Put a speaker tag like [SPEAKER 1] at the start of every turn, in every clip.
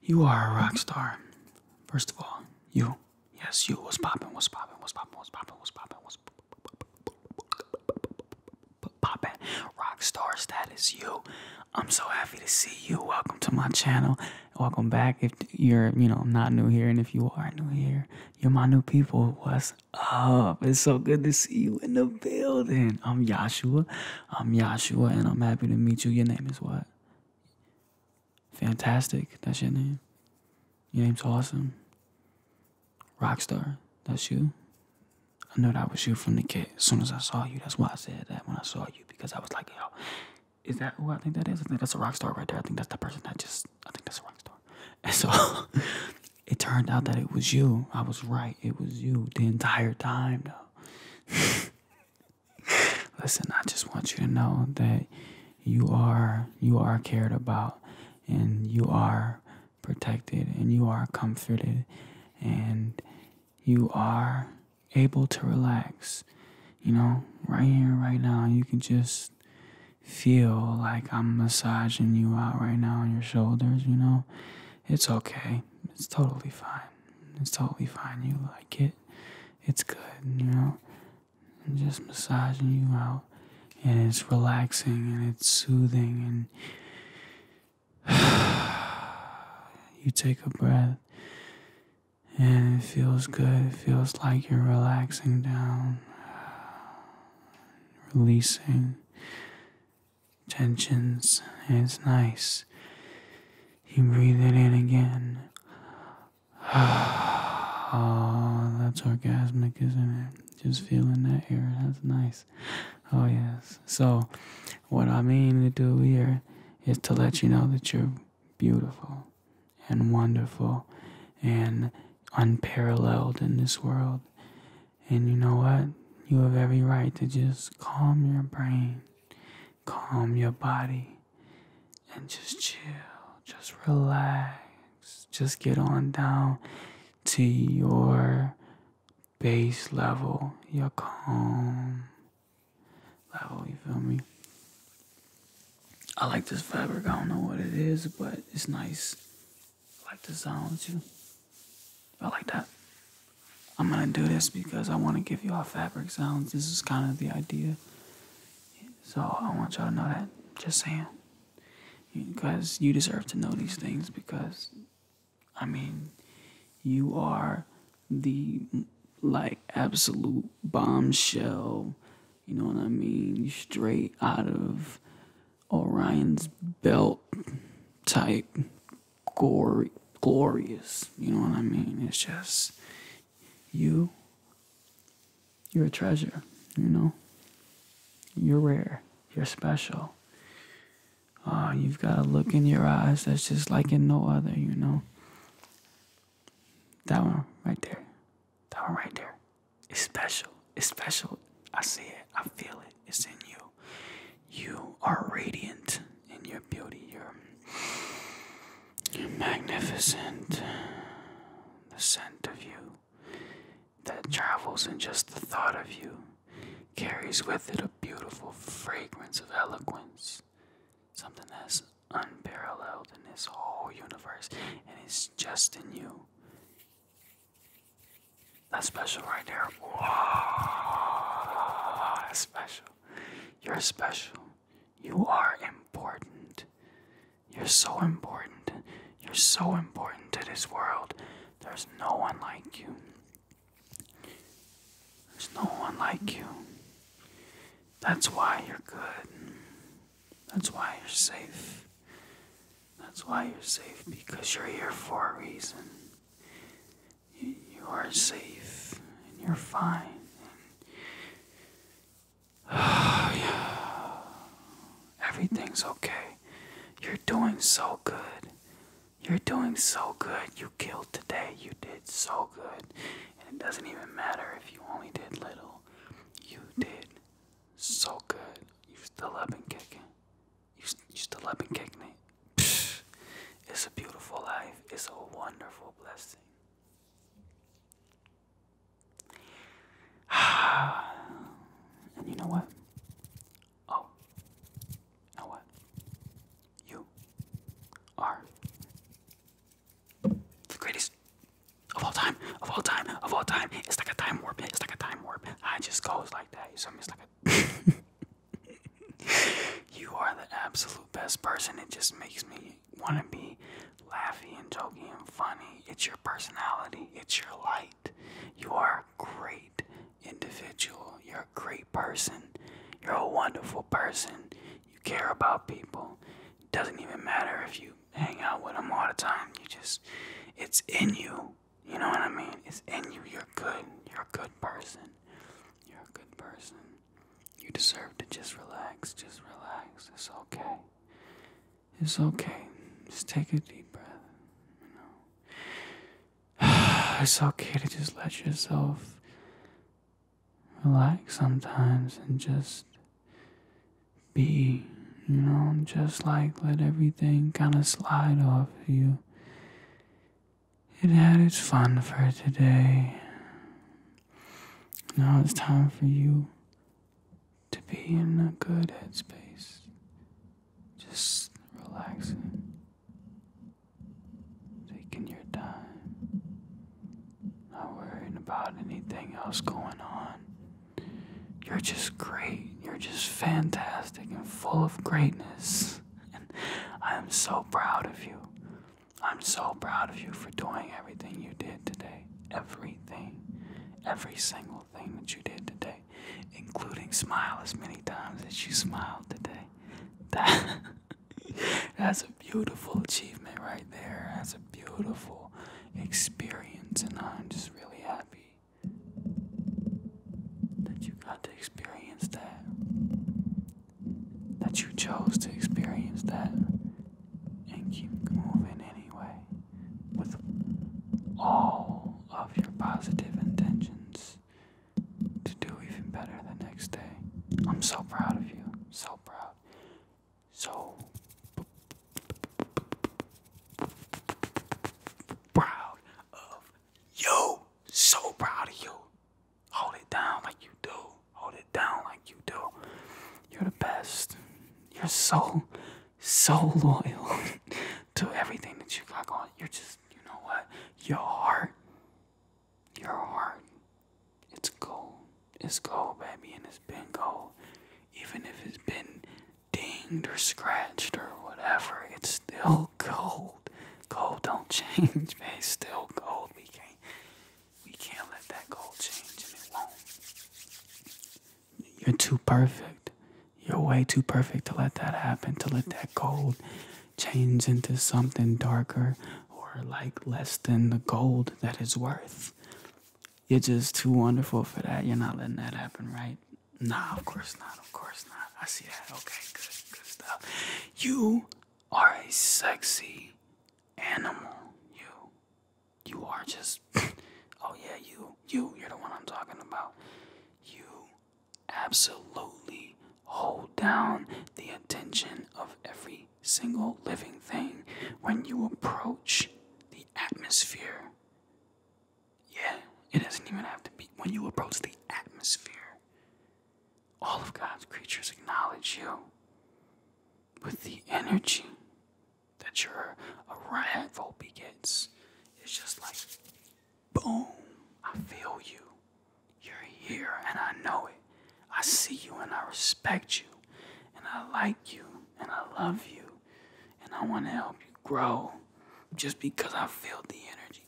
[SPEAKER 1] You are a rock star. First of all, you. Yes, you. was poppin'? was poppin'? was poppin'? was poppin'? was poppin'? was poppin'? Rock star status, you. I'm so happy to see you. Welcome to my channel. Welcome back. If you're, you know, not new here, and if you are new here, you're my new people. What's up? It's so good to see you in the building. I'm Yashua. I'm Yashua, and I'm happy to meet you. Your name is what? Fantastic. That's your name. Your name's awesome. Rockstar. That's you. I know that was you from the kid. As soon as I saw you, that's why I said that when I saw you because I was like, yo, is that who I think that is? I think that's a rock star right there. I think that's the person that just, I think that's a rock star. And so it turned out that it was you. I was right. It was you the entire time, though. Listen, I just want you to know that you are you are cared about and you are protected and you are comforted and you are able to relax. You know, right here right now you can just feel like I'm massaging you out right now on your shoulders, you know. It's okay. It's totally fine. It's totally fine. You like it. It's good, you know. I'm just massaging you out, and it's relaxing and it's soothing. And you take a breath, and it feels good. It feels like you're relaxing down, releasing tensions, it's nice. You breathe it in again. Ah, oh, that's orgasmic, isn't it? Just feeling that air. That's nice. Oh, yes. So, what I mean to do here is to let you know that you're beautiful and wonderful and unparalleled in this world. And you know what? You have every right to just calm your brain calm your body and just chill, just relax, just get on down to your base level, your calm level. You feel me? I like this fabric. I don't know what it is, but it's nice. I like the sound too. I like that. I'm gonna do this because I want to give you all fabric sounds. This is kind of the idea. So I want y'all to know that. Just saying. Because you deserve to know these things because, I mean, you are the like absolute bombshell. You know what I mean? Straight out of Orion's belt type glorious. You know what I mean? It's just you. You're a treasure. You know. You're rare. You're special. Uh, you've got a look in your eyes that's just like in no other. You know. That one right there. That one right there. It's special. It's special. I see it. I feel it. It's in you. You are radiant in your beauty. You're, magnificent. The scent of you that travels, in just the thought of you carries with it a beautiful fragrance of eloquence, something that's unparalleled in this whole universe, and it's just in you. That's special right there. Wow, special. You're special. You are important. You're so important. You're so important to this world. There's no one like you. There's no one like you. That's why you're good. That's why you're safe. That's why you're safe because you're here for a reason you are safe and you're fine. yeah, everything's okay. You're doing so good. You're doing so good. You killed today. You did so good. And it doesn't even matter if you only did little. You did so good. You still up and kicking. You, you still up and kicking it it's a beautiful life. It's a wonderful blessing. and you know what? Oh, know what? You are the greatest of all time, of all time, of all time. It's like a time warp. It's like a time warp. I just goes like that. You like a. you are the absolute best person. It just makes me want to be laughy and joking and funny. It's your personality, it's your light. You are a great individual. You're a great person. You're a wonderful person. You care about people. It doesn't even matter if you hang out with them all the time. You just, it's in you. You know what I mean? It's in you. You're good. You're a good person. You're a good person. You deserve to just relax, just relax. It's okay. It's okay. Just take a deep breath. You know. It's okay to just let yourself relax sometimes and just be, you know, just like let everything kind of slide off you. It had its fun for today. Now it's time for you to be in a good headspace. Just relaxing, taking your time, not worrying about anything else going on. You're just great. You're just fantastic and full of greatness. And I am so proud of you. I'm so proud of you for doing everything you did today. Everything. Every single thing that you did today, including smile as many times as you smiled today. That, that's a beautiful achievement right there. That's a beautiful experience, and I'm just really happy that you got to experience that that you chose to experience that and keep moving anyway with all of your positive intentions to do even better the next day. I'm so proud of you. So proud. So proud of you. So proud of you. Hold it down like you do. Hold it down like you do. You're the best. You're so, so loyal to everything that you have got going. You're just, you know what? Your heart, your heart, it's gold. It's gold, baby, and it's been gold. Even if it's been dinged or scratched or whatever, it's still gold. Gold don't change, man. still gold. We can't we can't let that gold change and it won't. You're too perfect. You're way too perfect to let that happen, to let that gold change into something darker or like less than the gold that it's worth. You're just too wonderful for that. You're not letting that happen, right? Nah, of course not. Of course not. I see that. Okay, good, good stuff. You are a sexy animal. You, you are just. oh yeah, you, you, you're the one I'm talking about. You absolutely hold down the attention of every single living thing when you approach the atmosphere. Yeah, it doesn't even have to be when you approach the atmosphere all of God's creatures acknowledge you with the energy that your arrival begets. It's just like, boom, I feel you. You're here and I know it. I see you and I respect you and I like you and I love you and I want to help you grow just because I feel the energy.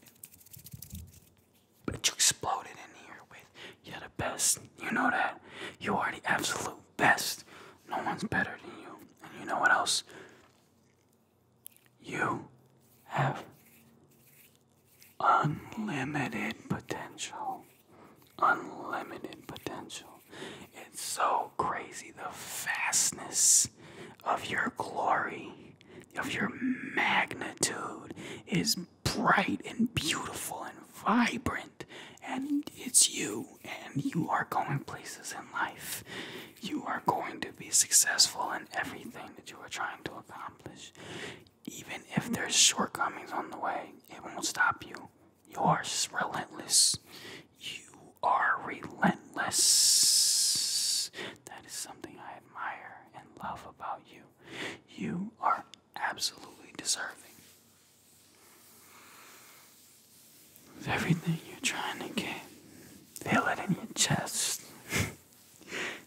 [SPEAKER 1] But you exploded in here with you're the best. You know that. You are the absolute best. No one's better than you. And you know what else? You have unlimited potential. Unlimited potential. It's so crazy the vastness of your glory, of your magnitude is bright and beautiful and vibrant, and it's you, and you are going places in life. You are going to be successful in everything that you are trying to accomplish. Even if there's shortcomings on the way, it won't stop you. You are relentless. You are relentless. That is something I admire and love about you. You are absolutely deserving. everything you're trying to get, feel it in your chest,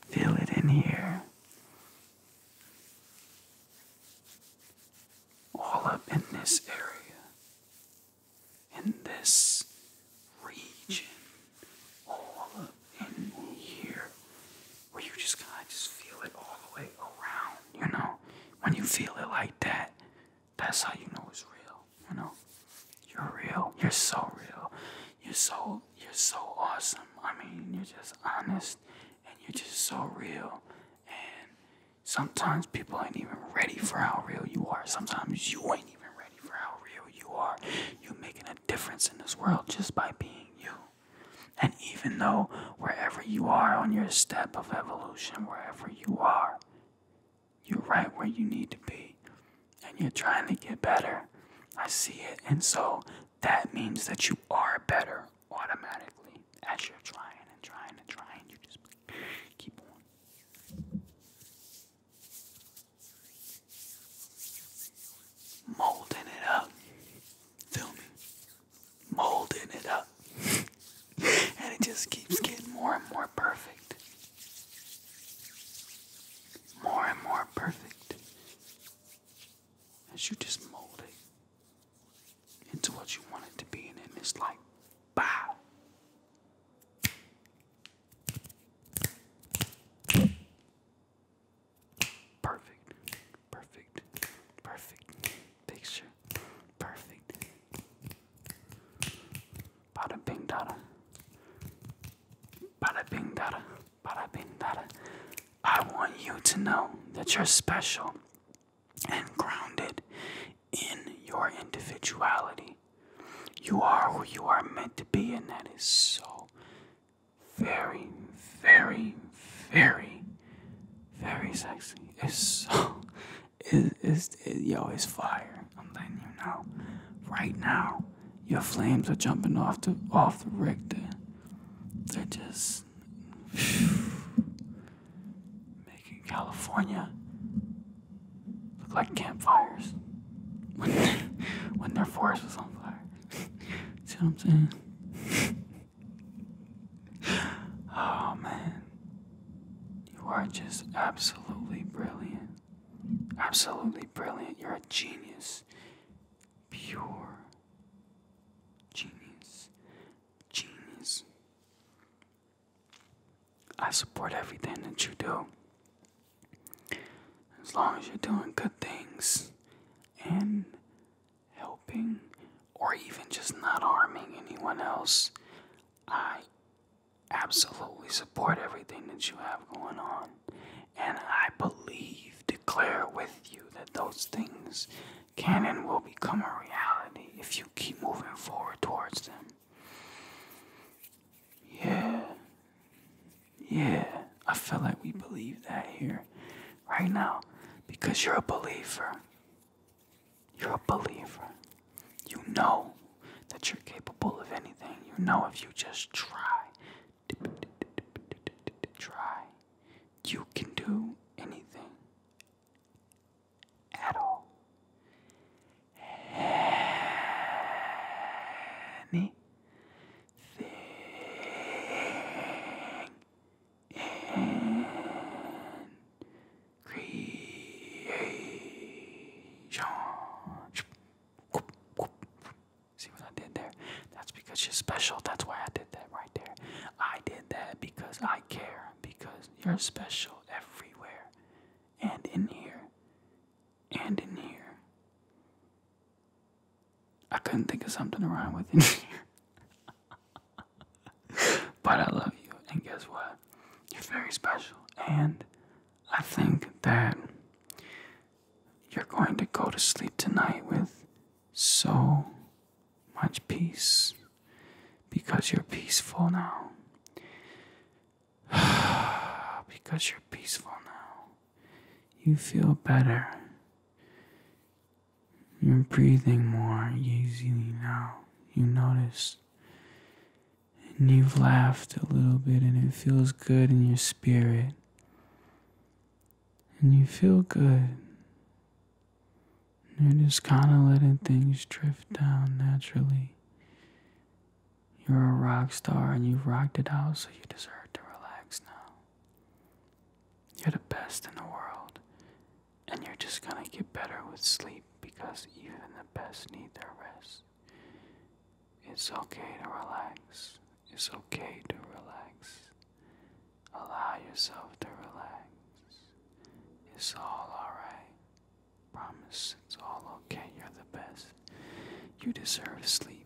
[SPEAKER 1] feel it in here, all up in this area, in this region, all up in here, where you just kind of just feel it all the way around, you know? When you feel it like that, that's how you know it's real, you know? You're real. You're so real. You're so you're so awesome. I mean, you're just honest and you're just so real. And sometimes people ain't even ready for how real you are. Sometimes you ain't even ready for how real you are. You're making a difference in this world just by being you. And even though wherever you are on your step of evolution, wherever you are, you're right where you need to be and you're trying to get better. I see it. And so that means that you are better automatically as you're trying and trying and trying. You just keep on. Molding it up. Feel me? Molding it up. and it just keeps getting more and more perfect. More and more perfect. As you just mold it into what you want it to be, and it's like, bow. Perfect. Perfect. Perfect. Picture. Perfect. Bada bing dada. Bada bing dada. Bada bing dada. I want you to know that you're special and grounded in your individuality. You are who you are meant to be, and that is so very, very, very, very sexy. It's so, it, it's, it, yo, it's fire. I'm letting you know. Right now, your flames are jumping off the off the Richter. They're just making California look like campfires when when their forest was on fire. See what I'm saying? oh man. You are just absolutely brilliant. Absolutely brilliant. You're a genius. Pure genius. Genius. I support everything that you do. As long as you're doing good things, and helping or even just not harming anyone else. I absolutely support everything that you have going on. And I believe, declare with you that those things can and will become a reality if you keep moving forward towards them. Yeah. Yeah, I feel like we believe that here right now because you're a believer. You're a believer. You know that you're capable of anything. You know if you just try, try, you can do anything at all. Anything thing in creation. See what I did there? That's because you're special. That's why I did that right there. I did that because I care, because you're special everywhere and in here and in here I couldn't think of something to rhyme with in but I love you, and guess what? You're very special, and I think that you're going to go to sleep tonight with so much peace because you're peaceful now. because you're peaceful now. You feel better. You're breathing more easily now. You notice. And you've laughed a little bit, and it feels good in your spirit. And you feel good. You're just kind of letting things drift down naturally. You're a rock star and you've rocked it out, so you deserve to relax now. You're the best in the world, and you're just gonna get better with sleep because even the best need their rest. It's okay to relax. It's okay to relax. Allow yourself to relax. It's all alright. Promise it's all okay. You're the best. You deserve sleep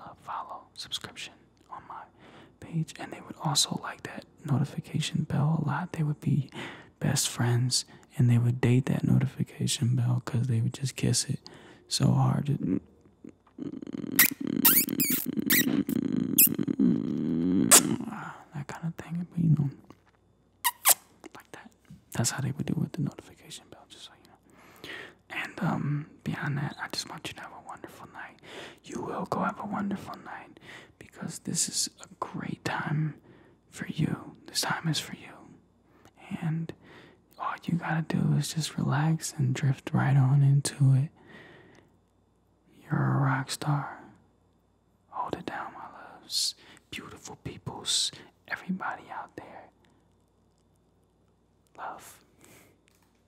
[SPEAKER 1] uh, follow subscription on my page, and they would also like that notification bell a lot. They would be best friends, and they would date that notification bell because they would just kiss it so hard. that kind of thing, but you know, like that. That's how they would do with the notification bell, just so you know. And um, beyond that, I just want you to have a wonderful night. You will go have a wonderful night because this is a great time for you. This time is for you. And all you gotta do is just relax and drift right on into it. You're a rock star. Hold it down, my loves. Beautiful peoples, everybody out there. Love.